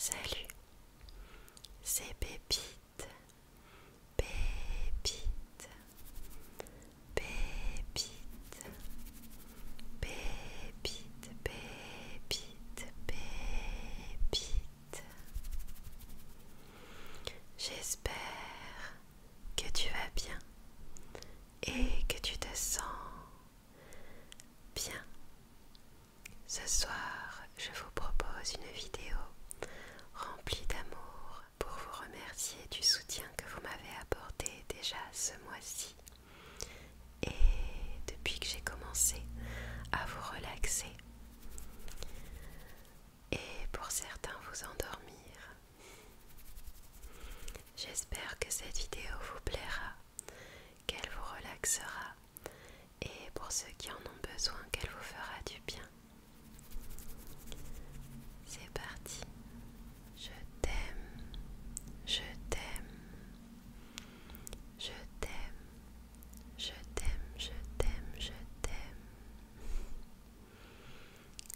Salut, c'est Pépite, Pépite, Pépite, Pépite, Pépite, Pépite. J'espère que tu vas bien et que tu te sens bien. Ce soir, je vous propose une vidéo remplie d'amour pour vous remercier du soutien que vous m'avez apporté déjà ce mois-ci et depuis que j'ai commencé à vous relaxer et pour certains vous endormir. J'espère que cette vidéo vous plaira, qu'elle vous relaxera et pour ceux qui en ont besoin, qu'elle vous fera du bien. C'est parti. Je t'aime, je t'aime, je t'aime, je t'aime, je t'aime, je t'aime.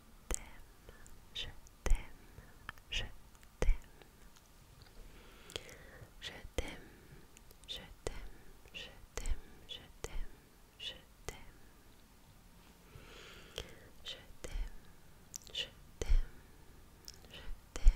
t'aime, je t'aime, je t'aime. Je t'aime, je t'aime, je t'aime, je t'aime, je t'aime. Je t'aime, je t'aime, je t'aime.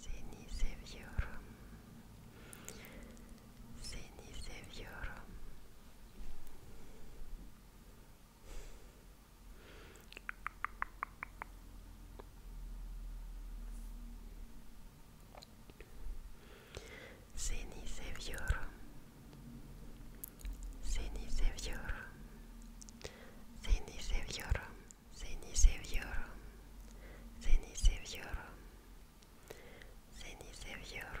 Seni seviyorum. Seni seviyorum. Seni seviyorum. Seni seviyorum. Seni seviyorum. Seni seviyorum. Seni seviyorum. Seni seviyorum. Seni seviyorum.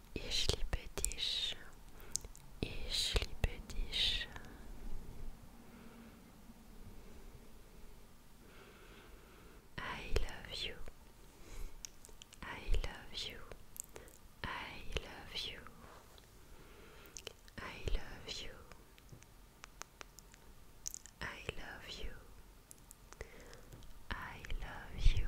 Ischli Petish, Ischli Petish. I love you. I love you. I love you. I love you. I love you. I love you.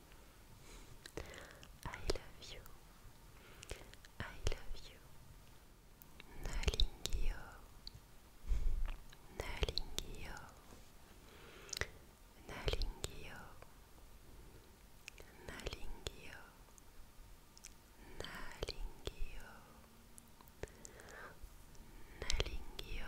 I love you. I love you. Nalingio. Nalingio. Nalingio. Nalingio. Nalingio. Nalingio.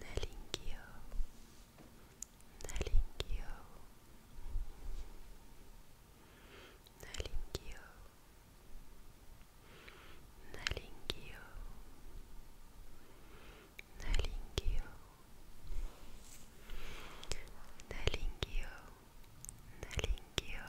Nalingio, Nalingio, Nalingio, Nalingio, Nalingio, Nalingio, Nalingio,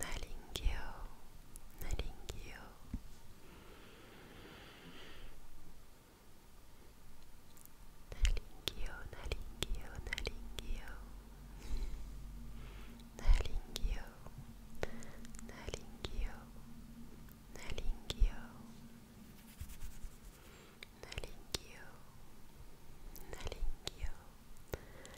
Nalingyo, Nalingyo. Nalingyo, Nalingyo, Nalingyo. Nalingyo, Nalingyo, Nalingyo. Nalingyo, Nalingyo,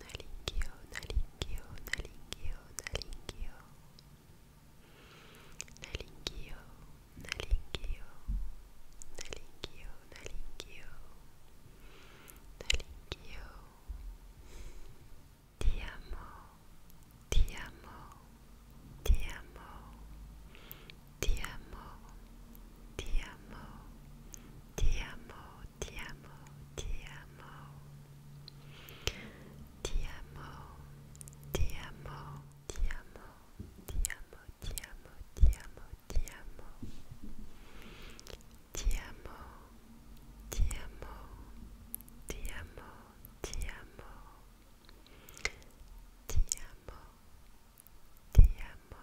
nalingio nalingio nalingio nalingio nalingio nalingio nalingio nalingio nalingio ti amo ti amo ti amo ti amo, ti amo, ti amo, ti amo, ti amo, ti amo, ti amo, ti amo, ti amo, ti amo, ti amo, ti amo, ti amo, ti amo, ti amo, ti amo. Ti amo, ti amo,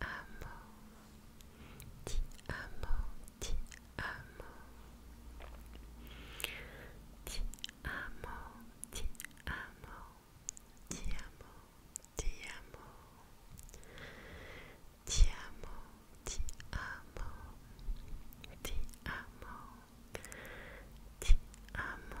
amo, ti amo, ti amo, ti amo, ti amo, ti amo, ti amo, ti amo, ti amo, ti amo, ti amo, ti amo. Ti amo,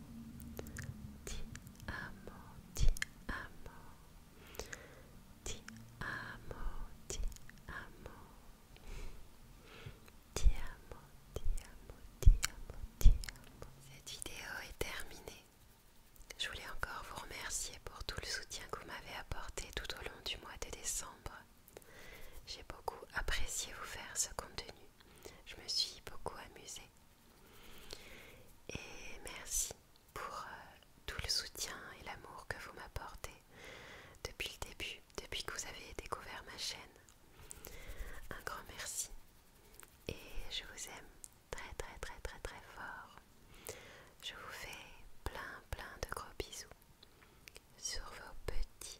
cette vidéo est terminée. Je voulais encore vous remercier pour tout le soutien que vous m'avez apporté tout au long du mois de décembre. J'ai beaucoup apprécié vous faire ce contenu. Je me suis beaucoup amusée. Et merci pour euh, tout le soutien et l'amour que vous m'apportez depuis le début, depuis que vous avez découvert ma chaîne. Un grand merci. Et je vous aime très très très très très fort. Je vous fais plein plein de gros bisous sur vos petits